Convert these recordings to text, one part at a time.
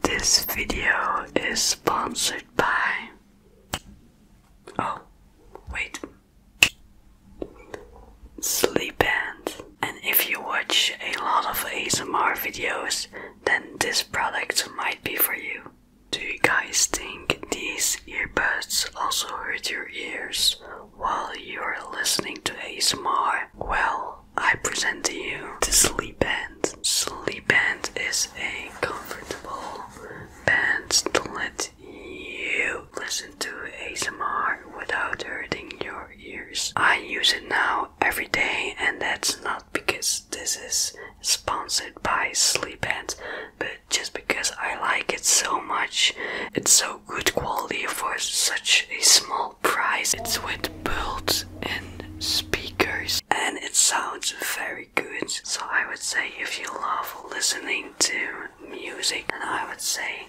This video is sponsored by. Oh, wait. Sleepant. And if you watch a lot of ASMR videos, then this product might be for you. Do you guys think these earbuds also hurt your ears while you're listening to ASMR? Well, I present to you the sleep band. Sleep band is a comfortable band to let you listen to ASMR without hurting your ears. I use it now every day, and that's not because this is sponsored by Sleep Band, but just because I like it so much. It's so good quality for such a small price. It's with built in speakers and it sounds very good. So I would say if you love listening to music, and I would say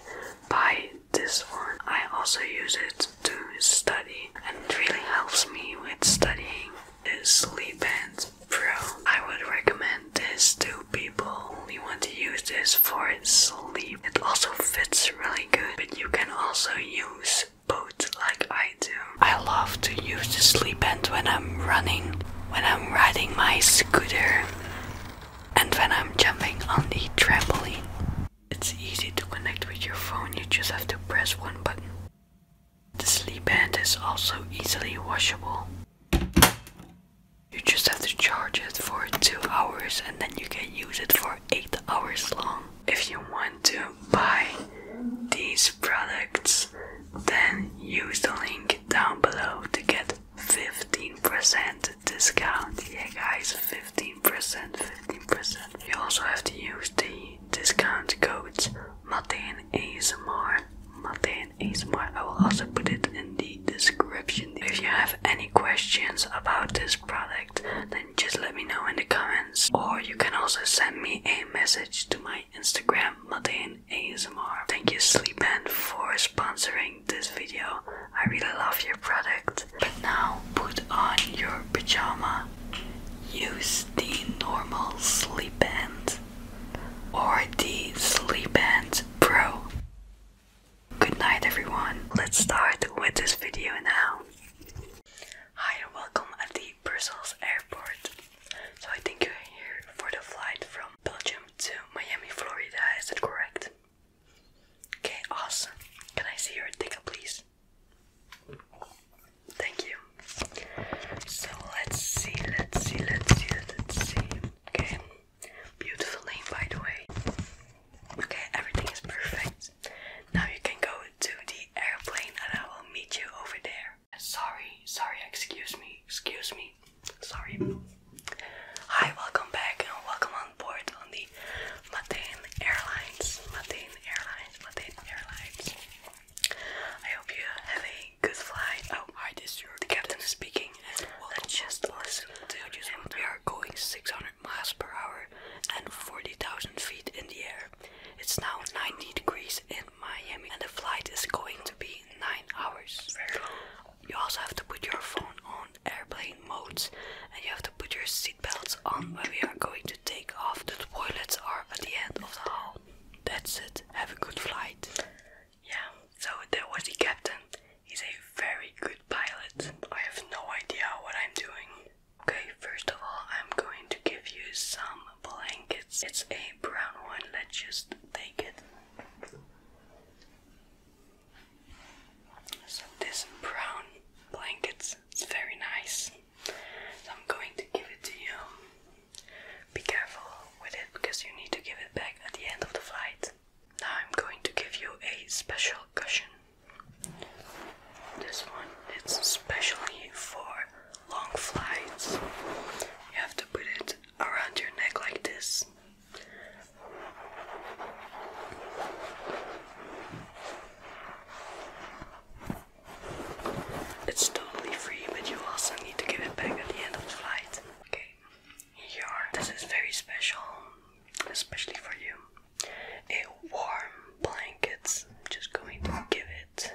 buy this one. I also use it to study and it really helps me with studying. This Sleep and Pro. I would recommend this to people who want to use this for sleep. It also fits really good, but you can also use boots like I do. I love to use the sleep band when I'm running, when I'm riding my scooter, and when I'm jumping on the trampoline. It's easy to connect with your phone, you just have to press one button. The sleep band is also easily washable. You just have to charge it for 2 hours and then you can use it for 8 hours long if you want to buy these products, then use the link down below to get 15% discount. Yeah, guys, 15%, 15%. You also have to use the discount codes Martin ASMR. Martin ASMR. I will also put it in the description. If you have any questions about this product, then just let me know in the comments. Or you can also send me a message to my Instagram, Matane ASMR. Thank you, Sleepend, for sponsoring this video. I really love your product. But now put on your pajama. Use the normal sleep or the sleep pro. Good night everyone. Let's start with this video now. Hi and welcome at the Brussels airport. So I think you're here for the flight from Belgium to Miami, Florida, is that correct? Okay, awesome. Can I see your ticket please? Thank you. So let's see, let's see, let's see, let's see. Okay. Beautiful name by the way. Okay, everything is perfect. Now you can go to the airplane and I will meet you over there. Sorry, sorry, excuse me, excuse me. Sorry. Hi, welcome back and welcome on board on the Matain Airlines. Matain Airlines, Matain Airlines. I hope you have a good flight. Oh, hi, this is your the captain speaking. Welcome just listen to you. We are going 600 miles per hour and 40,000 feet in the air. It's now 90 degrees in Miami and the flight is going to be 9 hours. You also have to put your phone on airplane modes and you have to put your seatbelts on when we are going to take off. The toilets are at the end of the hall. That's it. Have a good flight. Yeah, so there was the captain. He's a very good pilot. I have no idea what I'm doing. Okay, first of all, I'm going to give you some blankets. It's a brown one, let's just take it. So, this brown blanket is very nice. I'm going to give it to you. Be careful with it because you need to give it back at the end of the flight. Now, I'm going to give you a special cushion. This one it's especially for long flights. You have to put it around your neck like this. It's totally free, but you also need to give it back at the end of the flight. Okay, here This is very special especially for you, a warm blanket. I'm just going to give it.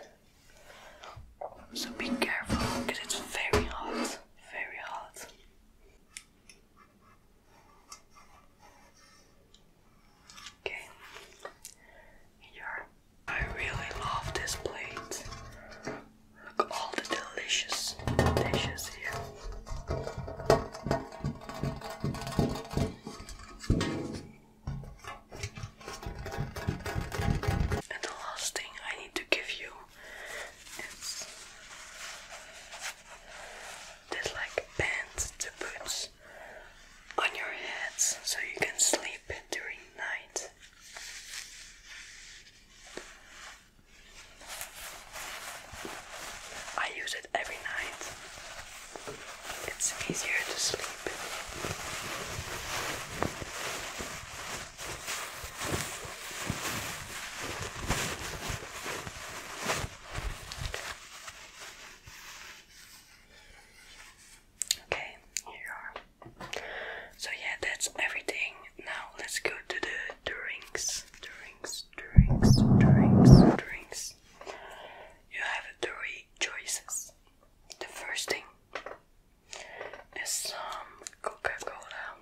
So be careful because it's very hot, very hot. Okay, here. I really love this plate. Look all the delicious dishes here. And the last thing I need to give you is this like band to put on your head so you can sleep during night. I use it every night. It's easier to sleep. Okay, here are. So yeah, that's everything. Now let's go to the drinks, drinks, drinks, drinks, drinks. You have three choices. The first thing is some Coca-Cola.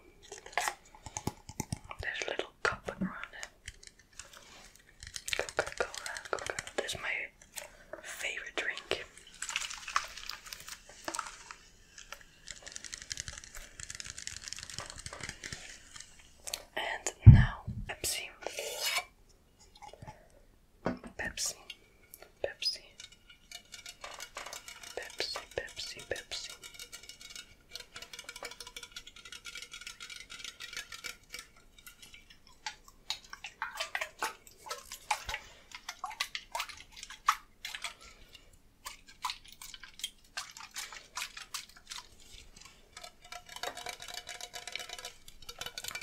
There's a little cup around it. Coca-Cola, Coca-Cola. That's my favorite drink. And now Pepsi. Pepsi. Pepsi. Pepsi, Pepsi, Pepsi.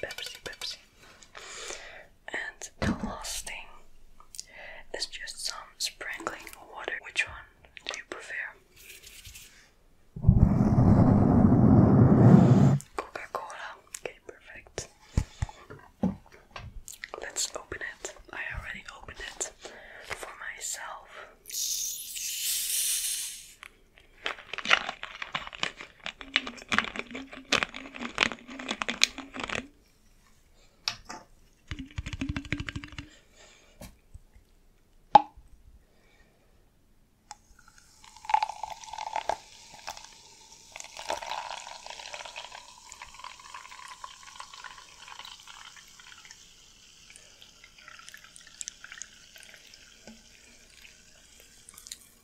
Pepsi, Pepsi. And the last thing is just some sprinkling water. Which one do you prefer? Coca Cola. Okay, perfect. Let's open it. I already opened it for myself.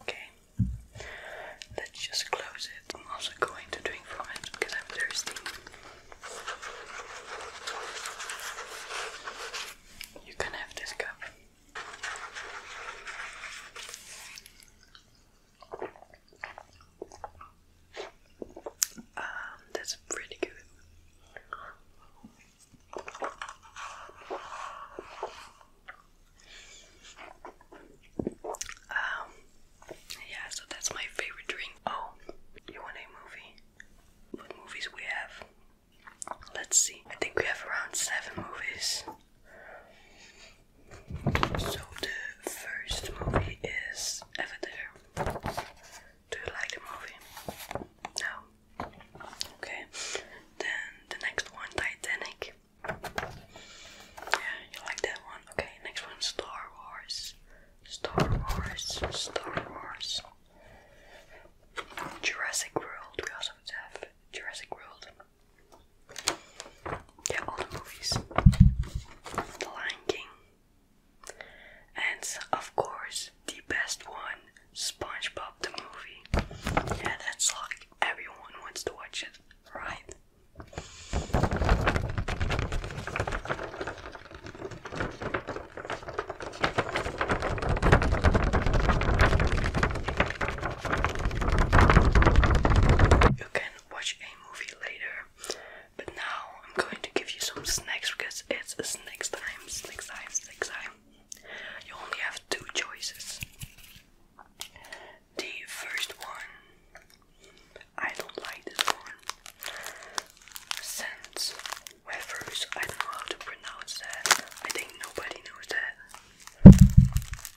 Okay, let's just close it. I'm also going to drink from it because I'm thirsty. You can have this cup. Um, that's pretty good. Um, yeah, so that's my favorite drink. Oh, you want a movie? What movies we have? Let's see. I think we have around seven movies. So the first movie is Avatar. Do you like the movie? No. Okay. Then the next one, Titanic. Yeah, you like that one. Okay, next one, Star Wars. Star Wars. Star Wars. Jurassic World. We also have Jurassic World. Yeah, all the movies. The Lion King. And of course, the best one, SpongeBob the movie. Yeah, that's like everyone wants to watch it, right? You can watch a movie later. But now I'm going to give you some snacks because it's snacks time, snacks time, snacks time. You only have two choices. The first one, I don't like this one. Sans wafers, I don't know how to pronounce that. I think nobody knows that.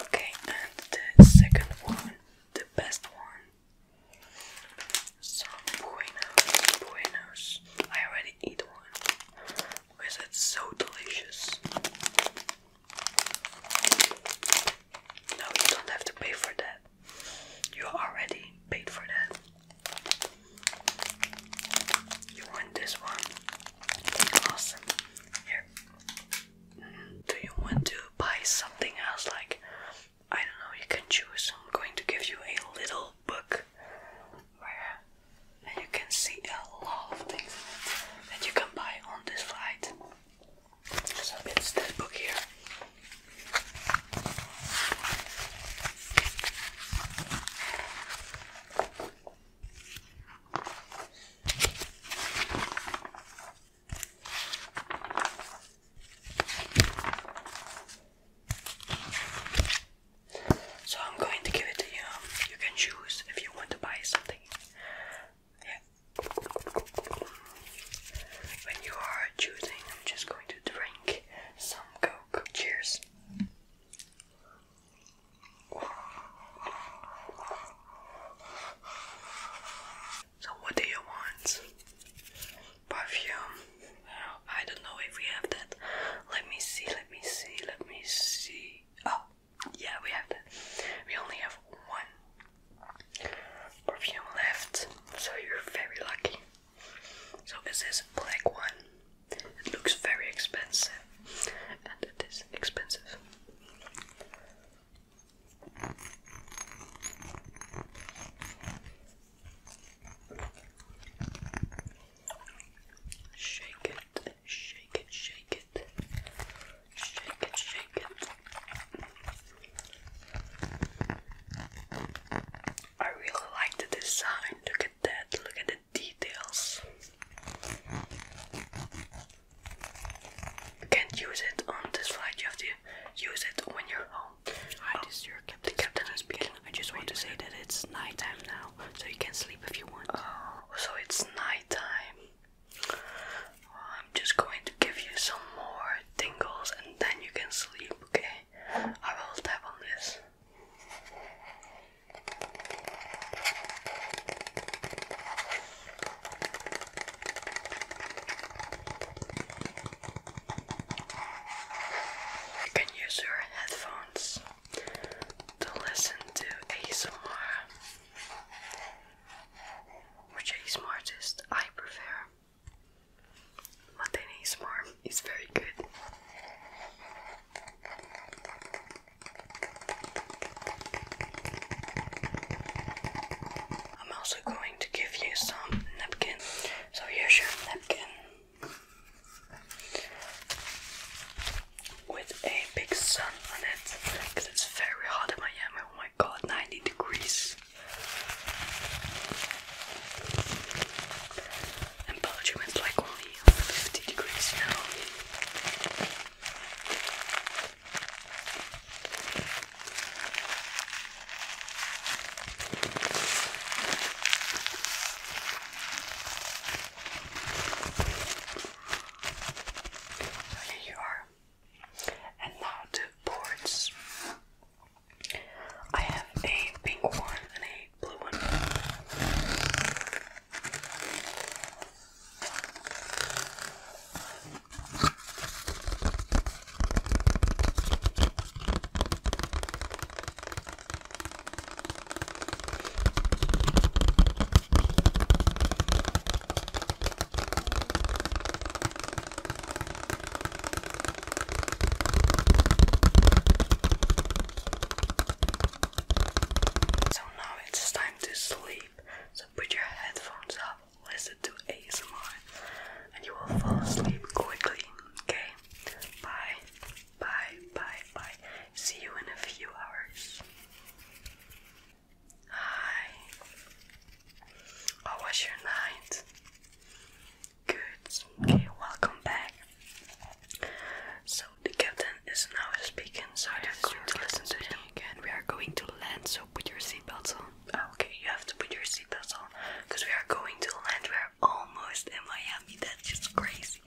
Okay, and the second one, the best one so buenos, buenos. I already eat one because it's so delicious. No, you don't have to pay for that. You already paid for that. You want this one? Awesome. Here. Do you want to buy something else like I don't know, you can choose. I'm going to give you a little book where you can see a lot of things that you can buy on this flight. So it's this book here. So I'm going to give it to you. You can choose if you want to buy something. Yeah. When you are choosing, I'm just going to drink some Coke. Cheers. So what do you want? Perfume? I don't know if we have that. Let me see, let me see, let me see. Oh, yeah, we have that. We only have one perfume left, so you're very lucky. So this is this black one? It looks very expensive, and it is expensive. Shake it, shake it, shake it, shake it, shake it. I really like the design. Look at that, look at the details can't use it on this flight. You have to use it when you're home. Hi, this is your captain. captain is I just want to say that it's nighttime now, so you can sleep if you want. Oh, so it's nighttime. I'm just going to give you some more tingles, and then you can sleep. Okay? I will tap on this. You can use your headphones to listen to ASMR. Which ASMR artist I prefer. Latin ASMR is very good. I'm also going to give you some napkins. So here's your napkin with a big sun on it because it's very hot in Miami. Oh my god, 90 degrees. And Belgium is like only 50 degrees now. So here you are. And now the boards. I have a pink one and a blue one. So now it's time to sleep put your headphones up, listen to ASMR, and you will fall asleep quickly. Okay? Bye. Bye, bye, bye. See you in a few hours. Hi. How was your night? Good. Okay, welcome back. So the captain is now speaking, so yes, I'm to listen to him again. We are going to land, so put your seatbelts on. Ah, okay, you have to put your seatbelts on because we are going to land. We are almost in Miami. That's just crazy.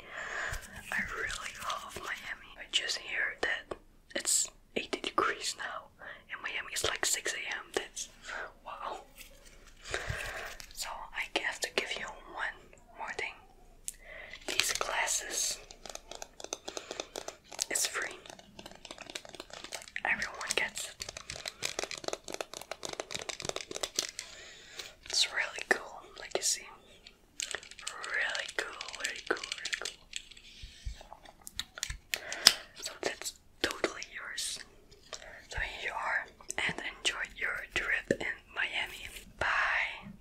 I really love Miami. I just hear that it's 80 degrees now in Miami. It's like 6 a.m. That's wow. So I have to give you one more thing. These glasses it's free. Everyone gets it. It's really cool, like you see. Really cool, really cool, really cool. So that's totally yours. So here you are, and enjoy your trip in Miami. Bye!